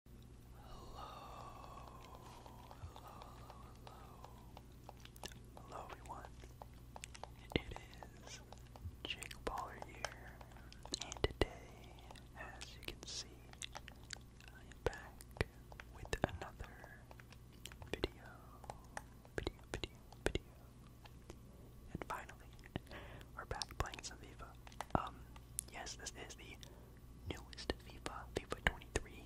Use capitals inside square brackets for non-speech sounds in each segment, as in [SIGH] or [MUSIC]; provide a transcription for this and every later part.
Hello, hello, hello, hello. everyone. It is Jake Baller here, and today, as you can see, I am back with another video, video, video, video. And finally, we're back playing some Um, yes, this is the newest FIFA, FIFA 23.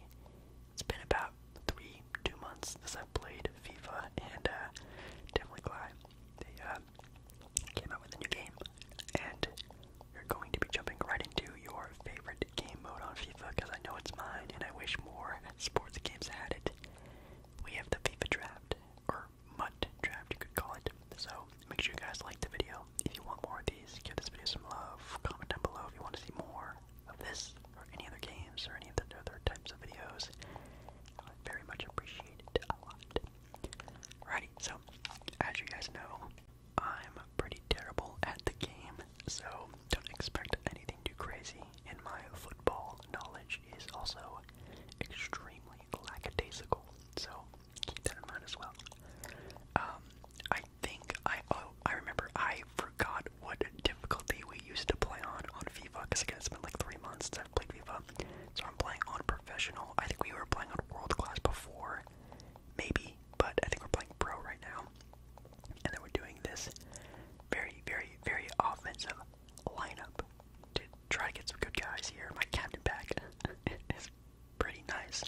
It's been about three, two months since I've played FIFA, and uh, definitely glad they uh, came out with a new game. And you're going to be jumping right into your favorite game mode on FIFA because I know it's mine, and I wish more sports games had it. We have the FIFA draft, or Mutt draft, you could call it. So make sure you guys like the video. If you want more of these, give this video some love. Comment down below if you want to see more of this or any other games or any of the other types of videos. I would very much appreciate it a lot. Alrighty, so as you guys know, I'm pretty terrible at the game, so don't expect anything too crazy. And my football knowledge is also extremely lackadaisical. So keep that in mind as well. Um, I think I oh I remember I forgot what difficulty we used to play on on FIFA because it's been like three months since I've played FIFA, so I'm playing on professional. I think we were playing on world class before, maybe, but I think we're playing pro right now, and then we're doing this very very very offensive lineup to try to get some good guys here. My captain back [LAUGHS] pretty nice.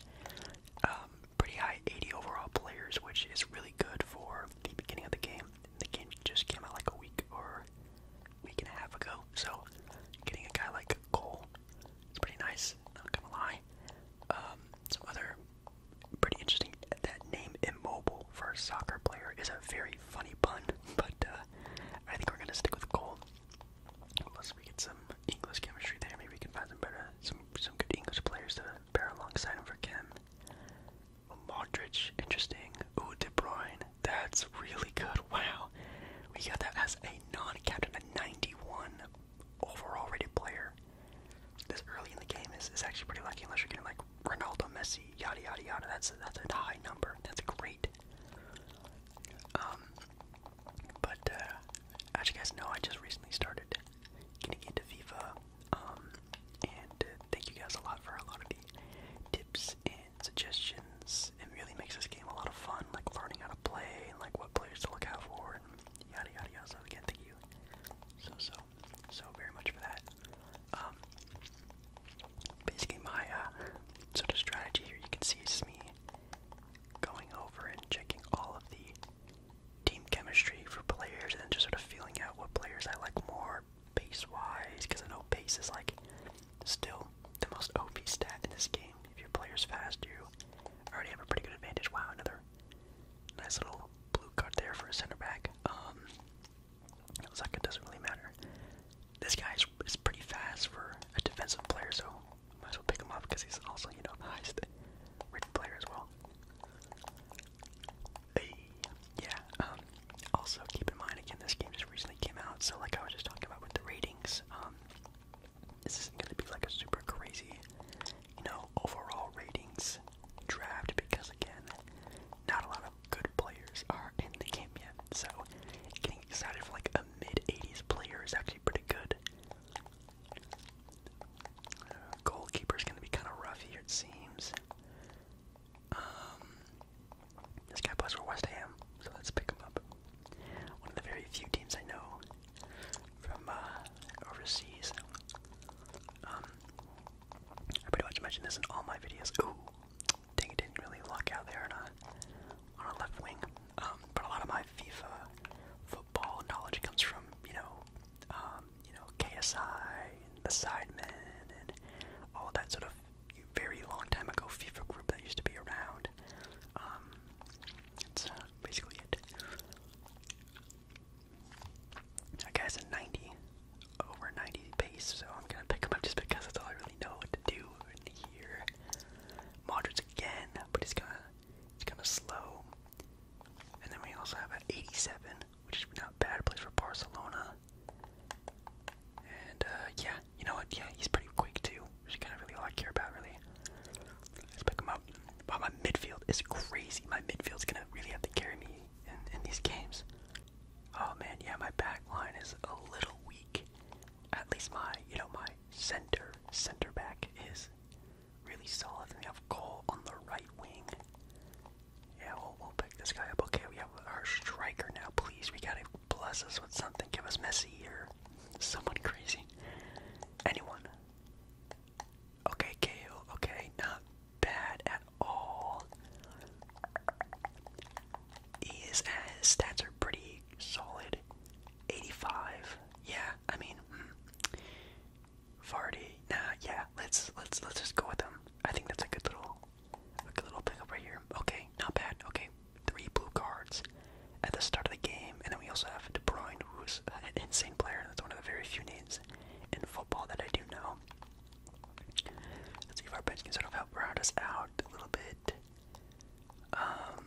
Um, pretty high 80 overall players, which is really good for the beginning of the game. The game just came out like a week or week and a half ago, so getting a guy like Cole is pretty nice, not gonna lie. Um, some other pretty interesting, that name Immobile for soccer player is a very funny pun, [LAUGHS] but uh, I think we're gonna stick with Cole. Plus, we get some English chemistry there. Maybe we can find some better, some some good English players to pair alongside him for Chem. Modric, interesting. Ooh, De Bruyne, that's really good. Wow, we got that as a non-captain, a 91 overall rated player. This early in the game is, is actually pretty lucky, unless you're getting like Ronaldo, Messi, yada yada yada. That's that's a high number. That's great. Um, but uh, as you guys know, I just recently started getting into Viva, um, and uh, thank you guys a lot for a lot of the tips and suggestions. It really makes this game a lot of fun, like learning how to play and like what players to look out for, and yada yada yada. So again, thank you so so so very much for that. Um, basically, my uh, sort of strategy here, you can see is me going over and checking all of the team chemistry for players and just sort of feeling out what players I like more pace wise because I know pace is like still the most OP stat in this game. If your player's fast, you already have a pretty good advantage. Wow, another nice little blue card there for a center back. Um, doesn't really matter. This guy is, pretty fast for a defensive player, so might as well pick him up because he's also, you know, the rich player as well. yeah, um, also keep in mind, again, this game just recently came out, so like I was just talking about with the ratings, um, this isn't going to be like a super crazy, you know, overall ratings draft because, again, not a lot of good players are in the game yet, so getting excited for like a mid 80s player is actually pretty good. Uh, goalkeeper's gonna be kind of rough here, it seems. Um, this guy plays for West Ham, so let's pick him up. One of the very few teams I know from uh, overseas. Um, I pretty much mention this in all my videos. Ooh, Dang it didn't really luck out there on a, on a left wing. Um, but a lot of my FIFA football knowledge comes from, you know, um, you know, KSI and the Sidemen and all that sort of very long time ago FIFA group that used to be around. Um, that's uh, basically it. That guy's a 90, over 90 base, so I'm gonna pick him up just because that's all I really know what to do here. Modric again, but he's kind of, he's kind of slow. And then we also have an 87, which is not bad. place for Barcelona. And uh, yeah, you know what? Yeah, he's pretty quick too, which is kind of really all I care about, really. Let's pick him up. my midfield is crazy. My midfield's gonna really have to carry me in these games. Oh man, yeah, my back line is a little weak at least my, you know, my center, center back is really solid. And we have Cole on the right wing. Yeah, we'll, we'll pick this guy up. Okay, we have our striker now. Please, we gotta bless us with something. Give us Messi or someone crazy. Anyone. Okay, Kale. Okay, not bad at all is, uh, his stats are pretty solid. 85. Yeah, I mean, hmm. Vardy. Nah, yeah. Let's let's let's just go with them. I think that's a good little, a good little pickup right here. Okay, not bad. Okay, three blue cards at the start of the game, and then we also have De Bruyne, who's an insane player. That's one of the very few names in football that I do know. Let's see if our bench can sort of help round us out a little bit. Um,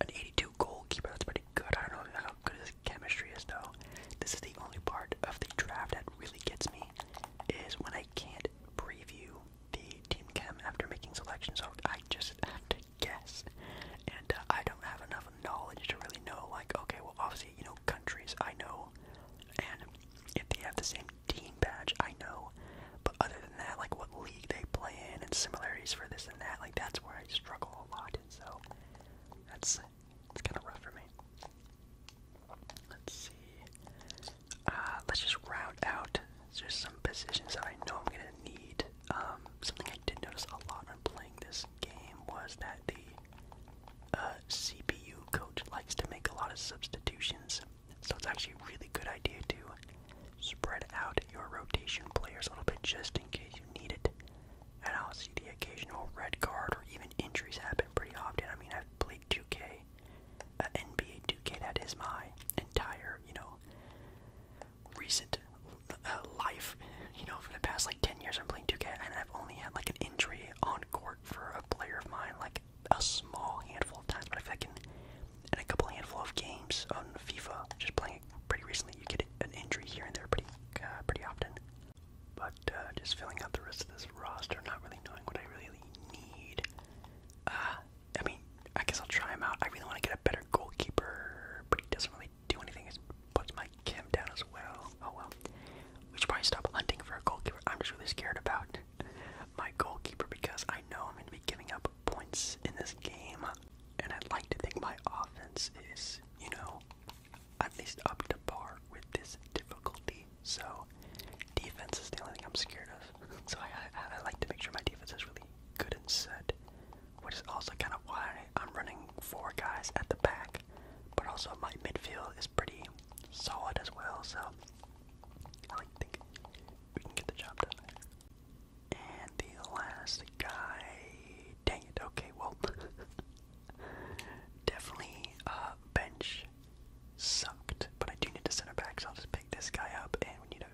an 82 goalkeeper, that's pretty good. I don't know how good his chemistry is, though. This is the only part of the draft that really gets me, is when I can't preview the team chem after making selections, so I just have to guess. And uh, I don't have enough knowledge to really know, like, okay, well, obviously, you know, countries I know, and if they have the same team badge, I know. But other than that, like what league they play in and similarities for this and that, like that's where I struggle a lot. And so that's it's kind of rough for me. Let's see. Uh, let's just round out just some positions that I know I'm gonna need. Um, something I did notice a lot when playing this game was that the uh, CPU coach likes to make a lot of substitutions so it's actually a really good idea to spread out your rotation players a little bit just in case you need it. And I'll see the occasional red card or even injuries happen pretty often. I mean, I've played 2K, NBA 2K, that is my entire, you know, recent uh, life. You know, for the past like 10 years, I'm playing 2K, and I've only had like an injury on court for a player of mine like a small handful of times, but I feel like a couple handful of games on FIFA, just playing it pretty recently, you get an injury here and there pretty uh, pretty often. But uh, just filling out the rest of this roster, not really knowing what I really need. Uh, I mean, I guess I'll try him out. I really want to get a better goalkeeper, but he doesn't really do anything. He puts my chem down as well. Oh well. We should probably stop hunting for a goalkeeper. I'm just really scared about my goalkeeper because I know I'm going to be giving up points in this game, and I'd like to think my offense is, you know, at least up to par with this difficulty. So, defense is the only thing I'm scared of. [LAUGHS] So, I, I like to make sure my defense is really good and set, which is also kind of why I'm running four guys at the back, but also my midfield is pretty solid as well. So, I think we can get the job done. And the last guy, dang it, okay, well, [LAUGHS] definitely uh, bench sucked, but I do need to center back, so I'll just pick this guy up, and we need a,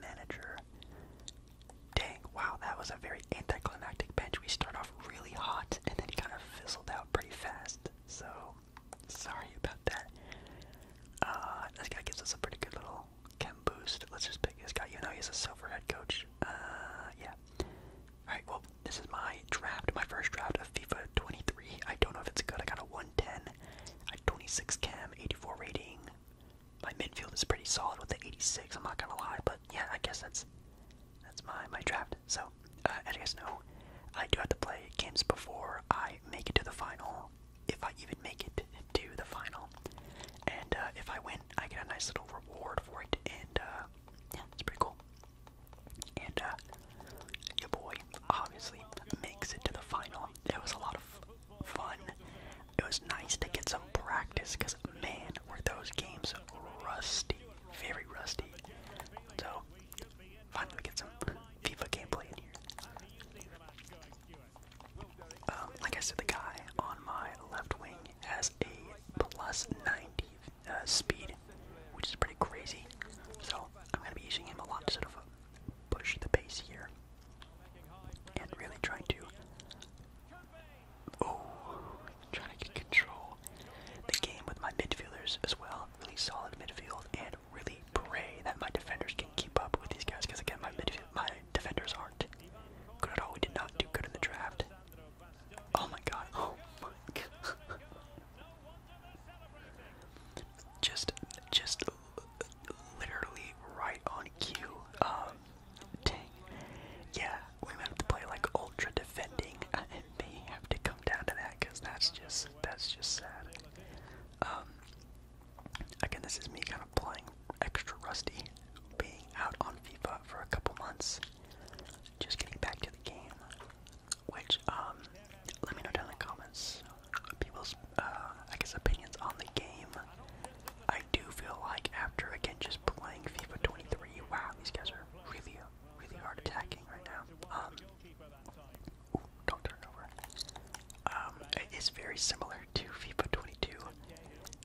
manager. Dang, wow, that was a very anticlimactic bench. We start off really hot, and then kind of fizzled out pretty fast, so sorry about that. Uh, this guy gives us a pretty good little cam boost. Let's just pick this guy. You know he's a silver head coach. Uh, yeah. Alright, well, this is my draft, my first draft of FIFA 23. I don't know if it's good. I got a 110, a 26 cam, 84 rating. My midfield is pretty solid with the 86, I'm not gonna lie, but yeah, I guess that's that's my my draft. So uh, as you guys know, I do have to play games before I make it to the final, if I even make it to the final. And uh, if I win, I get a nice little reward for it, and uh, yeah, it's pretty cool. And uh, your boy obviously makes it to the final. It was a lot of fun. It was nice to get some practice, because man, were those games rusty, very rusty. So, Finally get some FIFA gameplay in here. Um, like I said, the guy on my left wing has a plus 90 uh, speed, which is pretty crazy. So I'm going to be using him a lot to sort of push the pace here. And really trying to... Oh, trying to control. The game with my midfielders as well. Really solid midfield and really pray that my defenders can keep up with these guys, because again, my my defenders aren't good at all. We did not do good in the draft. Oh my god! Oh my [LAUGHS] god! just, just literally right on cue. Um, dang. Yeah, we have to play like ultra defending. [LAUGHS] may have to come down to that because that's just that's just sad. Um, again, this is me kind of playing extra rusty, being out on FIFA for a couple months, just getting back to the game. Which um, let me know down in the comments people's uh, I guess opinions on the game. I do feel like after again just playing FIFA 23, wow, these guys are really really hard attacking right now. Um, um, it is very similar to FIFA 22.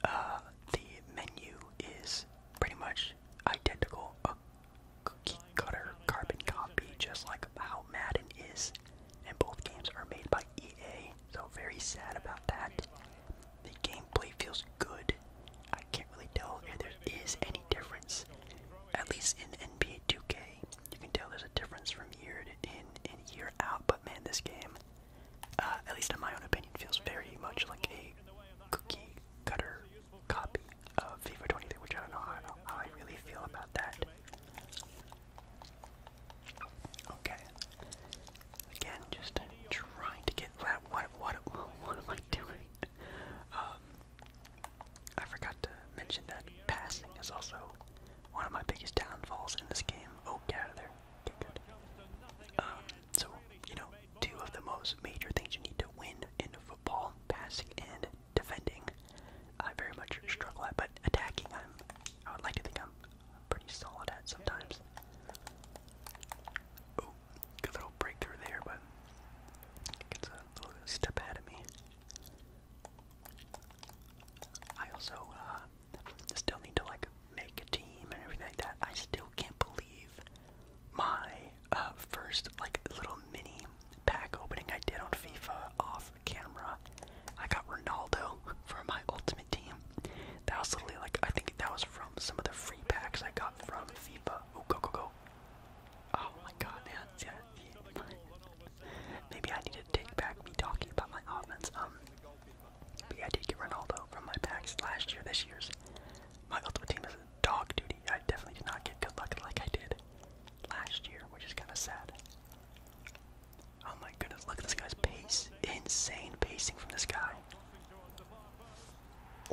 Uh, the menu is pretty much identical, a cutter carbon copy, just like how Madden is. And both games are made by EA, so very sad about that. The gameplay feels good. I can't really tell if there is any difference. At least in NBA 2K, you can tell there's a difference from year in and year out. But man, this game, uh, at least in my own opinion, feels very much like a cookie cutter copy of FIFA 23, which I don't know how, I, really feel about that. Okay. Again, just trying to get What, what, what, am I doing? Um, I forgot to mention that passing is also one of my biggest downfalls in this game. Oh, get out of there. Get good. Um, so, you know, two of the most major things you need to win in football, passing and defending. I very much struggle at, but attacking, i would like to think I'm pretty solid at sometimes. Oh, good little breakthrough there, but step out of me. I also uh, still need to like make a team and everything that. I still can't believe my uh, first like little mini pack opening I did on FIFA off camera. I got Ronaldo for my ultimate team. That was literally like I think that was from some of the free packs I got from FIFA. go go go! Oh my god, Yeah. Maybe I need to take back me talking about my offense. Um, but yeah, I did get Ronaldo from my packs last year, this year's. My ultimate team is dog duty. I definitely did not get good luck like I did last year, which is kind of sad. Oh my goodness, look at this guy's pace. Insane pacing from this guy.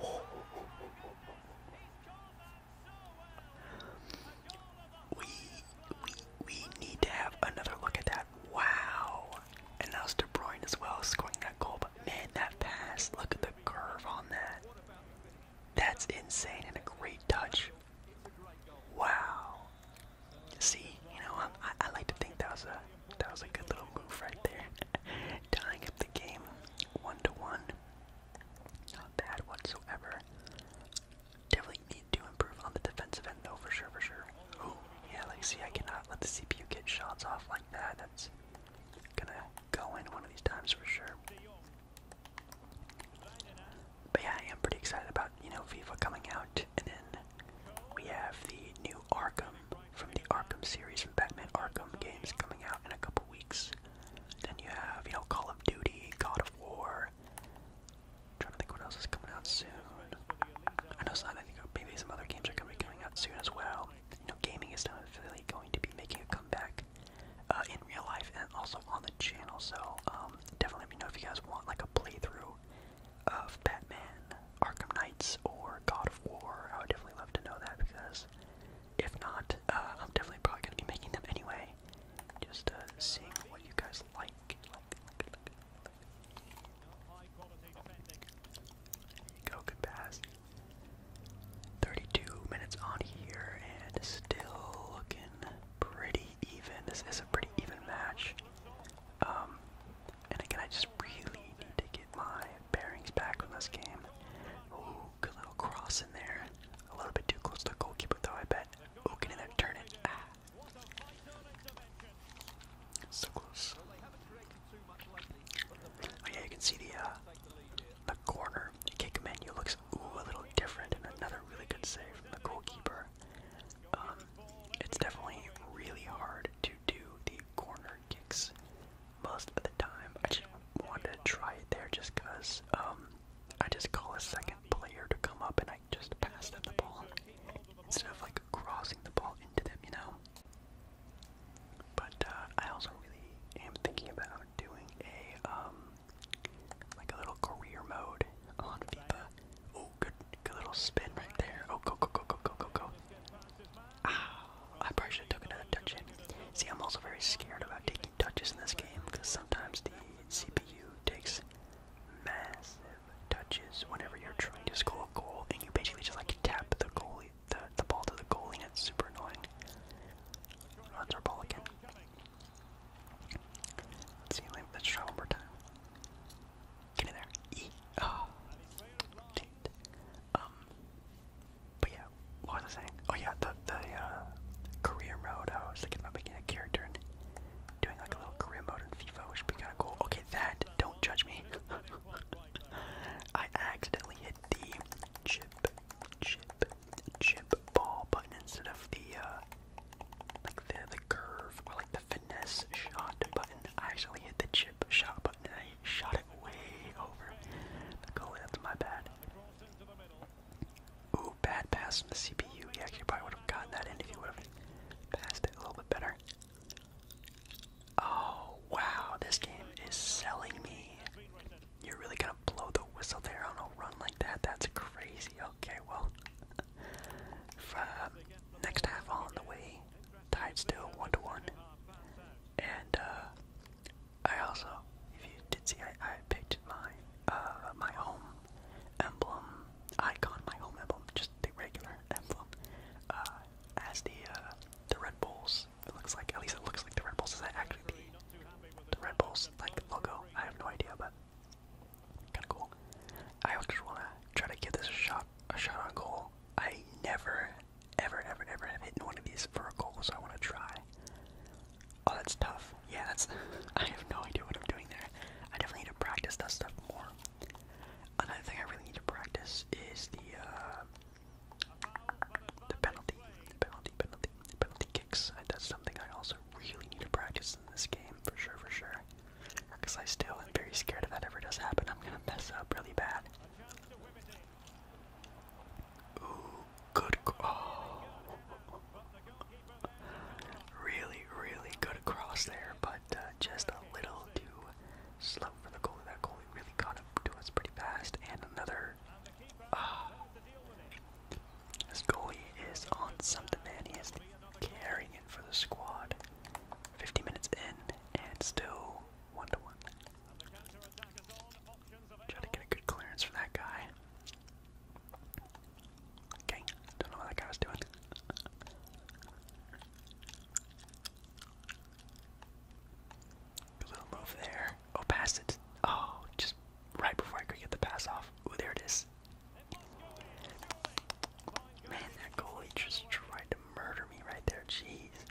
Oh. oh, oh, oh we we we need to have another look at that. Wow. And now it's De Bruyne as well scoring that goal. But man, that pass, look at the curve on that. That's insane and a great touch. Wow. See, you know, I like to think that was a that was a good little move right there. [LAUGHS] Tying up the game one to one. Not bad whatsoever. Definitely need to improve on the defensive end though, for sure, for sure. Ooh, yeah, like see, I cannot let the CPU get shots off like that. That's gonna go in one of these times for sure. But yeah, I am pretty excited about, you know, FIFA coming out. And then we have the new Arkham from the Arkham series from Batman Arkham games coming out in a couple weeks. Then you have, you know, Call of Duty, God of War. i trying to think what else is coming out soon. I know some, maybe some other games are going to be coming out soon as well. You know, gaming is definitely going to be making a comeback uh, in real life and also on the channel. So um, definitely let me know if you guys want like a playthrough of Batman, Arkham Knights, or God of War. I would definitely love to know that because if not, uh, I'm definitely probably gonna be making them anyway. Just uh, seeing what you guys like. Go, good pass. 32 minutes on here, and still looking pretty even. This is a pretty even match. Um, and again, I just really need to get my bearings back on this game. Good little cross in there. A little bit too close to the goalkeeper though, I bet. Who in there turn ah. So close. Oh yeah, you can see the uh, the corner. kick menu looks a little different another really good save from the goalkeeper. Um, it's definitely really hard to do the corner corner kicks most of the time. I just wanted to try it there just because um, I just call a second player to come up and I just pass them the ball instead of like crossing the ball into them, you know? But uh, I also really am thinking about doing a um, like a little career mode on FIFA. Oh, good, good little spin right there. Oh, go, go, go, go, go, go, go. [SIGHS] I probably should have took another touch See, I'm also very scared about taking touches in this game because sometimes the CPU takes massive touches whenever you're trying to score a goal and you basically just like tap the goalie, the, the ball to the goalie and it's super annoying. Runs our ball again. see, let's try one more time. Get in there. E. But yeah, what was I saying? Oh yeah, the the uh, career mode. I was thinking about making a character and doing like a little career mode in FIFA, which would be gonna go. Okay, that don't judge me. [LAUGHS] I accidentally hit the chip, chip, chip ball button instead of the uh, like the the curve or like the finesse shot button. I actually hit the chip shot button shot it way over the goalie. That's my bad. Ooh, bad pass from the CPU. Yeah, you probably would have gotten that in if you would have passed it a little bit better. Oh, wow, this game is selling me. You're really gonna blow the whistle there on a run like that? That's crazy. Okay, well, [LAUGHS] next half on the way tied still one to one. And uh, I also, if you did see, I, I picked my uh, my home emblem icon, my home emblem, just the regular emblem, uh, as the uh, the Red Bulls. It looks like, at least it looks like the Red Bulls. Is that actually the, the Red Bulls like logo? I have no idea, but kind of cool. I just want to try to give this a shot, a shot on goal. I never ever, ever, ever have hit one of these for a goal, so I want to try. Oh, that's tough. Yeah, that's. [LAUGHS] I have no idea what I'm doing there. I definitely need to practice that stuff more. Another thing I really need to practice is the uh, the penalty, the penalty, penalty, penalty kicks. That's something I also really need to practice in this game, for sure, for sure. Because I still am very scared if that ever does happen, I'm gonna mess up really bad. Ooh, good. Oh. Really, really good cross there, but uh, just a little too slow for the goalie. That goalie really caught up to us pretty fast. And another. Ah. This goalie is on something, man. He is carrying it for the squad. 50 minutes in, and still 1 to 1. Try to get a good clearance for that guy. Okay, don't know what that guy was doing. Good little move there. Oh, past it. Oh, just right before I could get the pass off. Oh, there it is. Man, that goalie just tried to murder me right there. Jeez.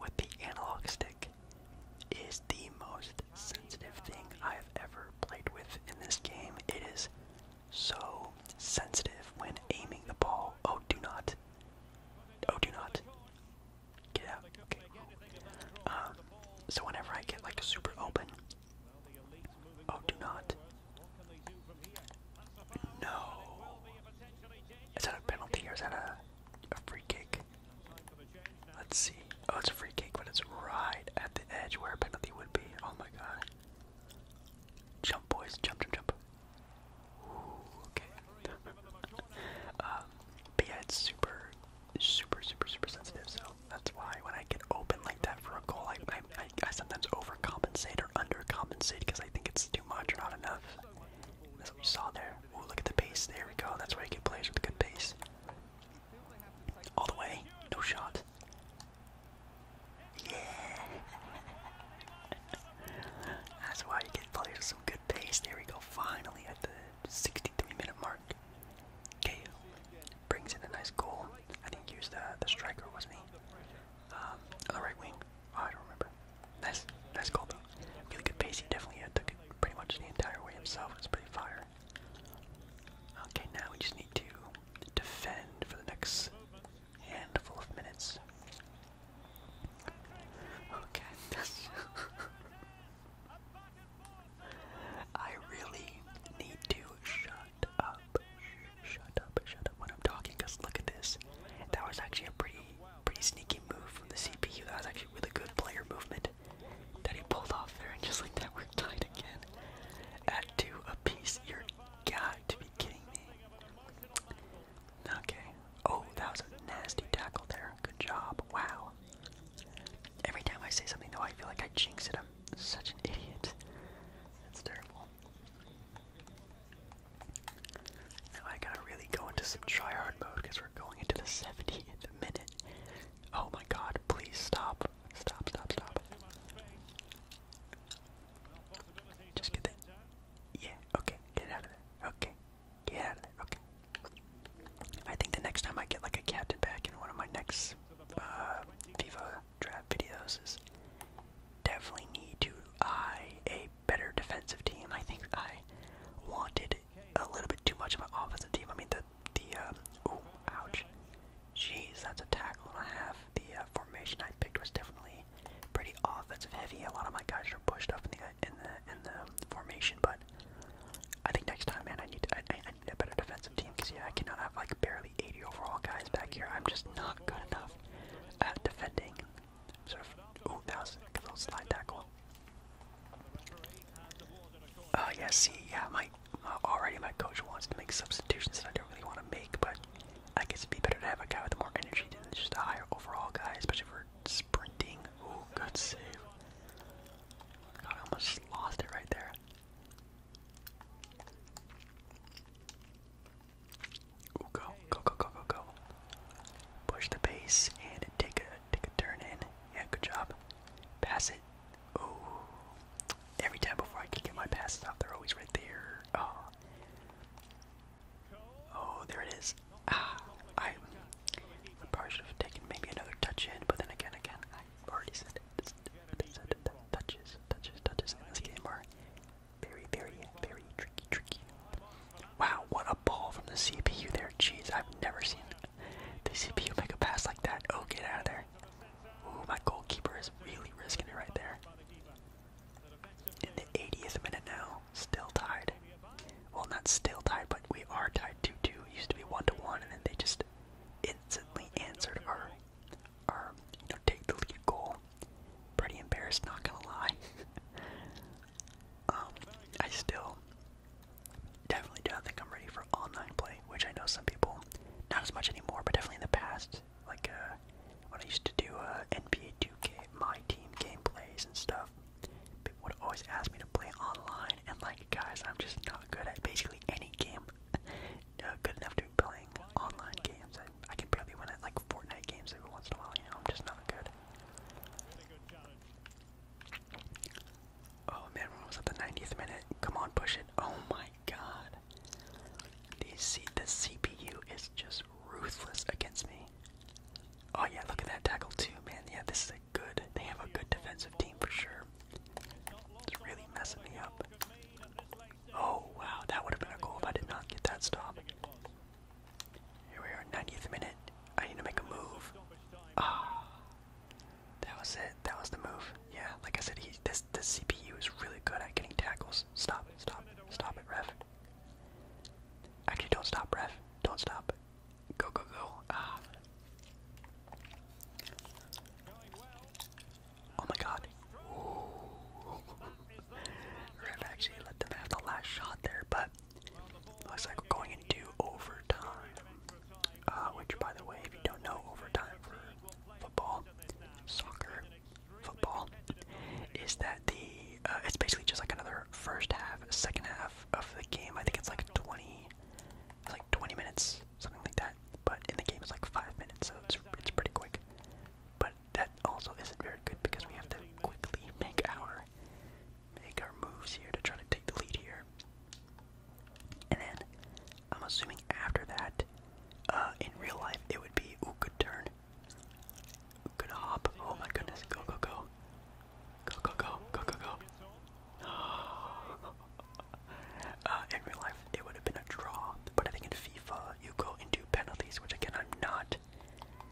with the analog stick is the most sensitive thing I have ever played with in this game. It is so sensitive when aiming the ball. Oh, do not. Oh, do not. Get out. Okay. Um, so whenever I get like super open, oh, do not. No. Is that a penalty or is that a? a free kick. Let's see. Oh, it's a free kick, but it's right at the edge where a penalty would be. Oh my god. Jump, boys. Jump, jump, jump. Ooh, okay. [LAUGHS] um, yeah, it's super, super, super, super sensitive, so that's why when I get open like that for a goal, I, I, I, sometimes overcompensate or undercompensate because I think it's too much or not enough. As what saw there. Ooh, look at the pace. There we go. That's why I get players with good pace. All the way. No shot. Yeah. [LAUGHS] That's why you get players with some good pace. There we go. Finally at the 63 minute mark. Okay. Brings in a nice goal. I think he used the, striker, was me. Um, the right wing. Oh, I don't remember. Nice, nice call though. Really good pace. He definitely uh, took it pretty much the entire way himself. It's pretty fire. Okay, now we just need to defend for the next handful of minutes. Okay. [LAUGHS] [LAUGHS] I really need to shut up. Shut up, shut up when I'm talking, because look at this. That was actually a pretty pretty sneaky move from the CPU. That was actually really good player movement that he pulled off there, and just like that, we're tied again at two apiece. You're got to be kidding me. Okay. Oh, that was a nasty tackle there. Good job. Wow. Every time I say something though, I feel like I jinx it. I'm such an idiot. That's terrible. I gotta really go into some tryhard mode because we're going into the 70th minute. Oh my god, please stop. Stop, stop, stop. Just get that. Yeah, okay, get out of there. Okay, get out of there. Okay. I think the next time I get like a captain back in one of my next FIFA uh, draft videos is definitely need to eye a better defensive team. I think I wanted a little bit too much of an offensive team. I mean, the, the, um, ooh, ouch. Jeez, that's a tackle and a half. The uh, formation I picked was definitely pretty offensive heavy. A lot of my guys are pushed up in the, uh, in the, in the formation, but I think next time, man, I need, I, I need a better defensive team, because, yeah, I cannot have, like, barely 80 overall guys back here. I'm just not good enough at defending Oh, of, uh, yeah, see, yeah, my, uh, already my coach wants to make substitutions that I don't really want to make, but I guess it'd be better to have a guy with more energy than just a higher overall guy, especially for sprinting. Ooh, good save. God, I almost lost it right there. Ooh, go, go, go, go, go, go. Push the pace and take a take a turn in. Yeah, good job. Pass it. Oh, every time before I can get my passes out, they're always right there. Oh, oh, there it is. Ah, I, I probably should have taken maybe another touch in, but then again, again, I already said it. It's, it's, it's, touches, touches, touches in this game are very, very, very tricky, tricky. Wow, what a ball from the CPU there. Jeez, I've never seen the CPU make a pass like that. Oh, get out of there. Ooh, my goalkeeper is really risking it right there. In the 80th minute now, still tied. Well, not still tied, but we are tied 2-2. used to be 1-1, and then they just instantly answered our, our you know, take the lead goal pretty embarrassed, not gonna lie. [LAUGHS] um, I still definitely do not think I'm ready for online play, which I know some people, not as much anymore, but definitely in the past, like uh, when I used to do uh, NBA 2K, my team game plays and stuff, people would always ask me to play online, and like, guys, I'm just not good at basically any game. [LAUGHS] Uh, good enough to be playing online games. I, I can barely win at like Fortnite games every once in a while, you know, I'm just not good. Oh man, we're almost at the 90th minute. Come on, push it. Oh my god. The, C the CPU is just ruthless against me. Oh yeah, look at that tackle too, man. Yeah, this is a good, they have a good defensive team for sure. It's really messing me up. Oh wow, that would have been a goal if I did not get that stop. Here we are, 90th minute. I need to make a move. Ah, that was it. That was the move. Yeah, like I said, he, this this CPU is really good at getting tackles. Stop, stop, stop it, ref. Actually, don't stop, ref. Don't stop. Go, go, go. Ah. Oh my God. [LAUGHS] i actually let them have the last shot there, but looks like we're going into overtime. Uh, which, by the way, if you don't know, overtime for football, soccer, football, is that the uh, it's basically just like another first half, second half of the game. I think it's like 20, like 20 minutes, something like that. But in the game, it's like five minutes, so it's it's pretty quick. But but that also isn't very good because we have to quickly make our make our moves here to try to take the lead here. And then I'm assuming after that, uh, in real life it would be ooh good turn. Ooh, good hop. Oh my goodness, go go go. Go go go go go go. [LAUGHS] Uh, in real life, it would have been a draw, but I think in FIFA you go into penalties, which again I'm not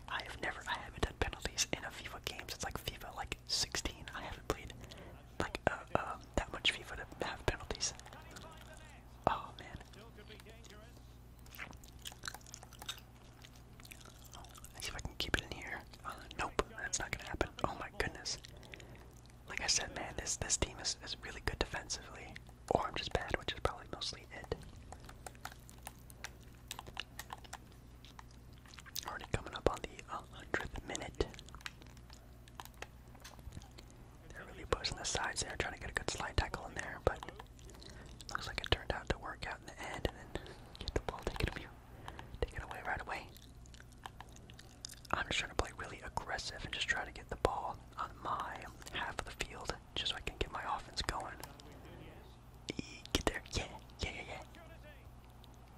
I have never, I haven't done penalties in a FIFA game It's like FIFA like 16. I haven't played like uh, uh, that much FIFA to have penalties. Oh man. see if I can keep it in here. Uh, nope, that's not gonna happen. Oh my goodness. Like I said, man, this this team is, is really good defensively. Or I'm just bad, which is probably mostly it. Already coming up on the 100th minute. They're really pushing the sides there, trying to get a good slide tackle in there, but looks like it turned out to work out in the end, and then get the ball taken of you. Take it away right away. I'm just trying to play really aggressive and just try to get the ball on my half of the field just so I can get my offense going. get there. yeah, yeah, yeah.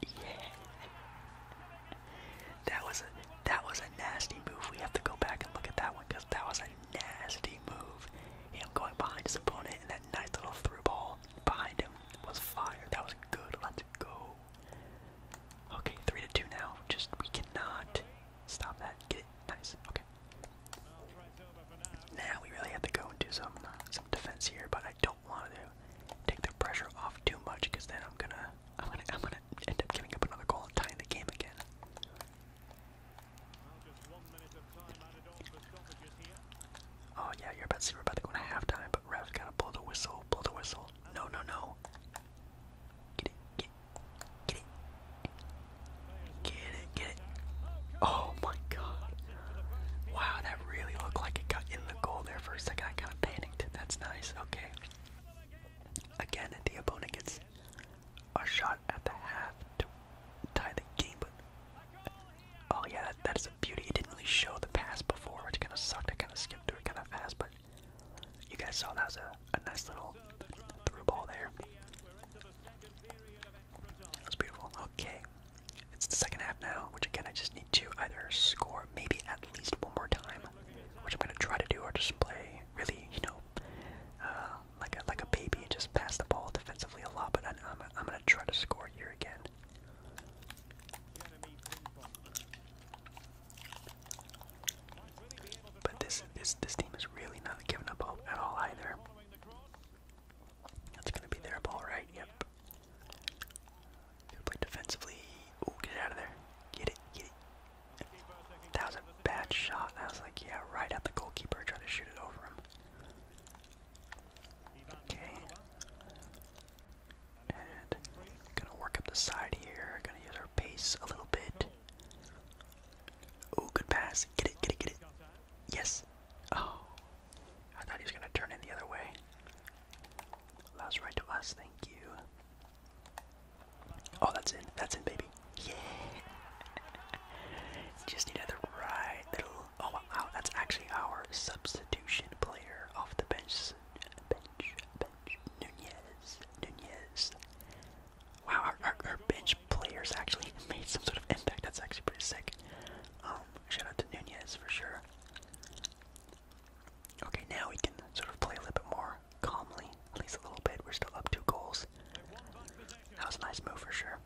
Yeah. That was a that was a nasty move. We have to go back and look at that one because that was a nasty move. Him going behind his opponent and that nice little through ball behind him was fire. That was good. Let's go. Okay, three to two now. Just we cannot Stop that. Get it. Nice. Okay. Now we really have to go and do some some defense here, but I don't want to take their pressure off too much because then I'm gonna I'm gonna I'm gonna end up giving up another goal and tying the game again. Oh yeah, you're about to see we're about to go into halftime, but ref's gotta blow the whistle, blow the whistle. No, no, no. Get it, get Get it. Get it, get it. Oh my god. Wow, that really looked like it got in the goal there for a second. I kind of panicked. That's nice. Okay. Again, the opponent gets a shot at the half to tie the game, oh yeah, that is a beauty. It didn't really show the pass before, which kind of sucked. I kind of skipped through it kind of fast, but you guys saw that was a nice little through ball there. That's beautiful. Okay. It's the second half now, which again I just need to either score maybe at least one more time, which I'm gonna try to do, or display, really, you know, uh, like a like a baby and just pass the ball defensively a lot. But I'm gonna try to score here again. But this this this team is really not giving up at all either. That's gonna be their ball, right? Yep. play defensively. Ooh, get out of there. Get it, get it. That was a bad shot. I was like, yeah, right at the goalkeeper, try to shoot it over him. Okay. And gonna work up the side here. Gonna use our pace a little bit. Oh, good pass. Get it, get it, get it. Yes. Oh. I thought he was going to turn in the other way. Allows right to us. Thank you. Oh, that's in. That's in, baby. Yeah. [LAUGHS] Just need another right little. Oh, wow. That's actually our substitution player off the bench. Bench, bench. Nunez. Nunez. Wow, our, our, bench players actually made some sort of impact. That's actually pretty sick. Um, shout out to Nunez for sure. Okay, now we can sort of play a little bit more calmly, at least a little bit. We're still up two goals. That was a nice move for sure.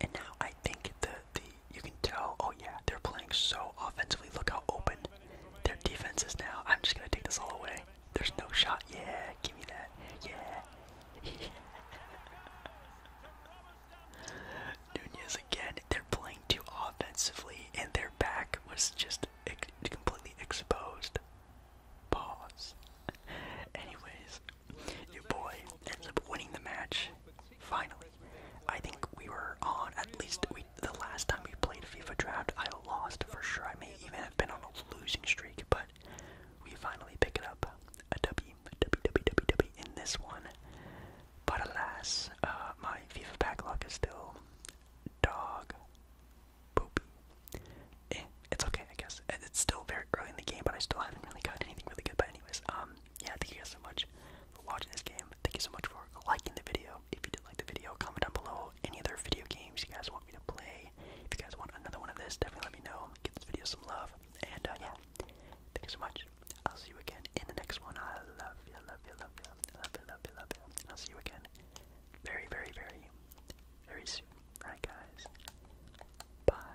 And now I think the the you can tell. Oh yeah, they're playing so offensively. Look how open their defense is now. I'm just gonna take this all away. There's no shot. Yeah, give me that. Yeah. [LAUGHS] Nunez again. They're playing too offensively, and their back was just completely exposed. Pause. Anyways, your boy ends up winning the match. Finally, I think we were on at least the last time we played FIFA Draft. I lost for sure. I may even have been on losing streak, but we finally pick it up. A W, a W, W, W, W in this one. But alas, uh, my FIFA lock is still dog poopy. Eh, it's okay, I guess. It's still very early in the game, but I still haven't really gotten anything really good. But anyways, um, yeah, thank you guys so much for watching this game. Thank you so much for liking the video. If you did like the video, comment down below know any other video games you guys want me to play. If you guys want another one of this, definitely let me know. Give this video some love. And uh, yeah, thank you so much. I'll see you again in the next one. I love you, love you, love you, love you, love you, love you. And I'll see you again very, very, very, very soon. Alright, guys. Bye.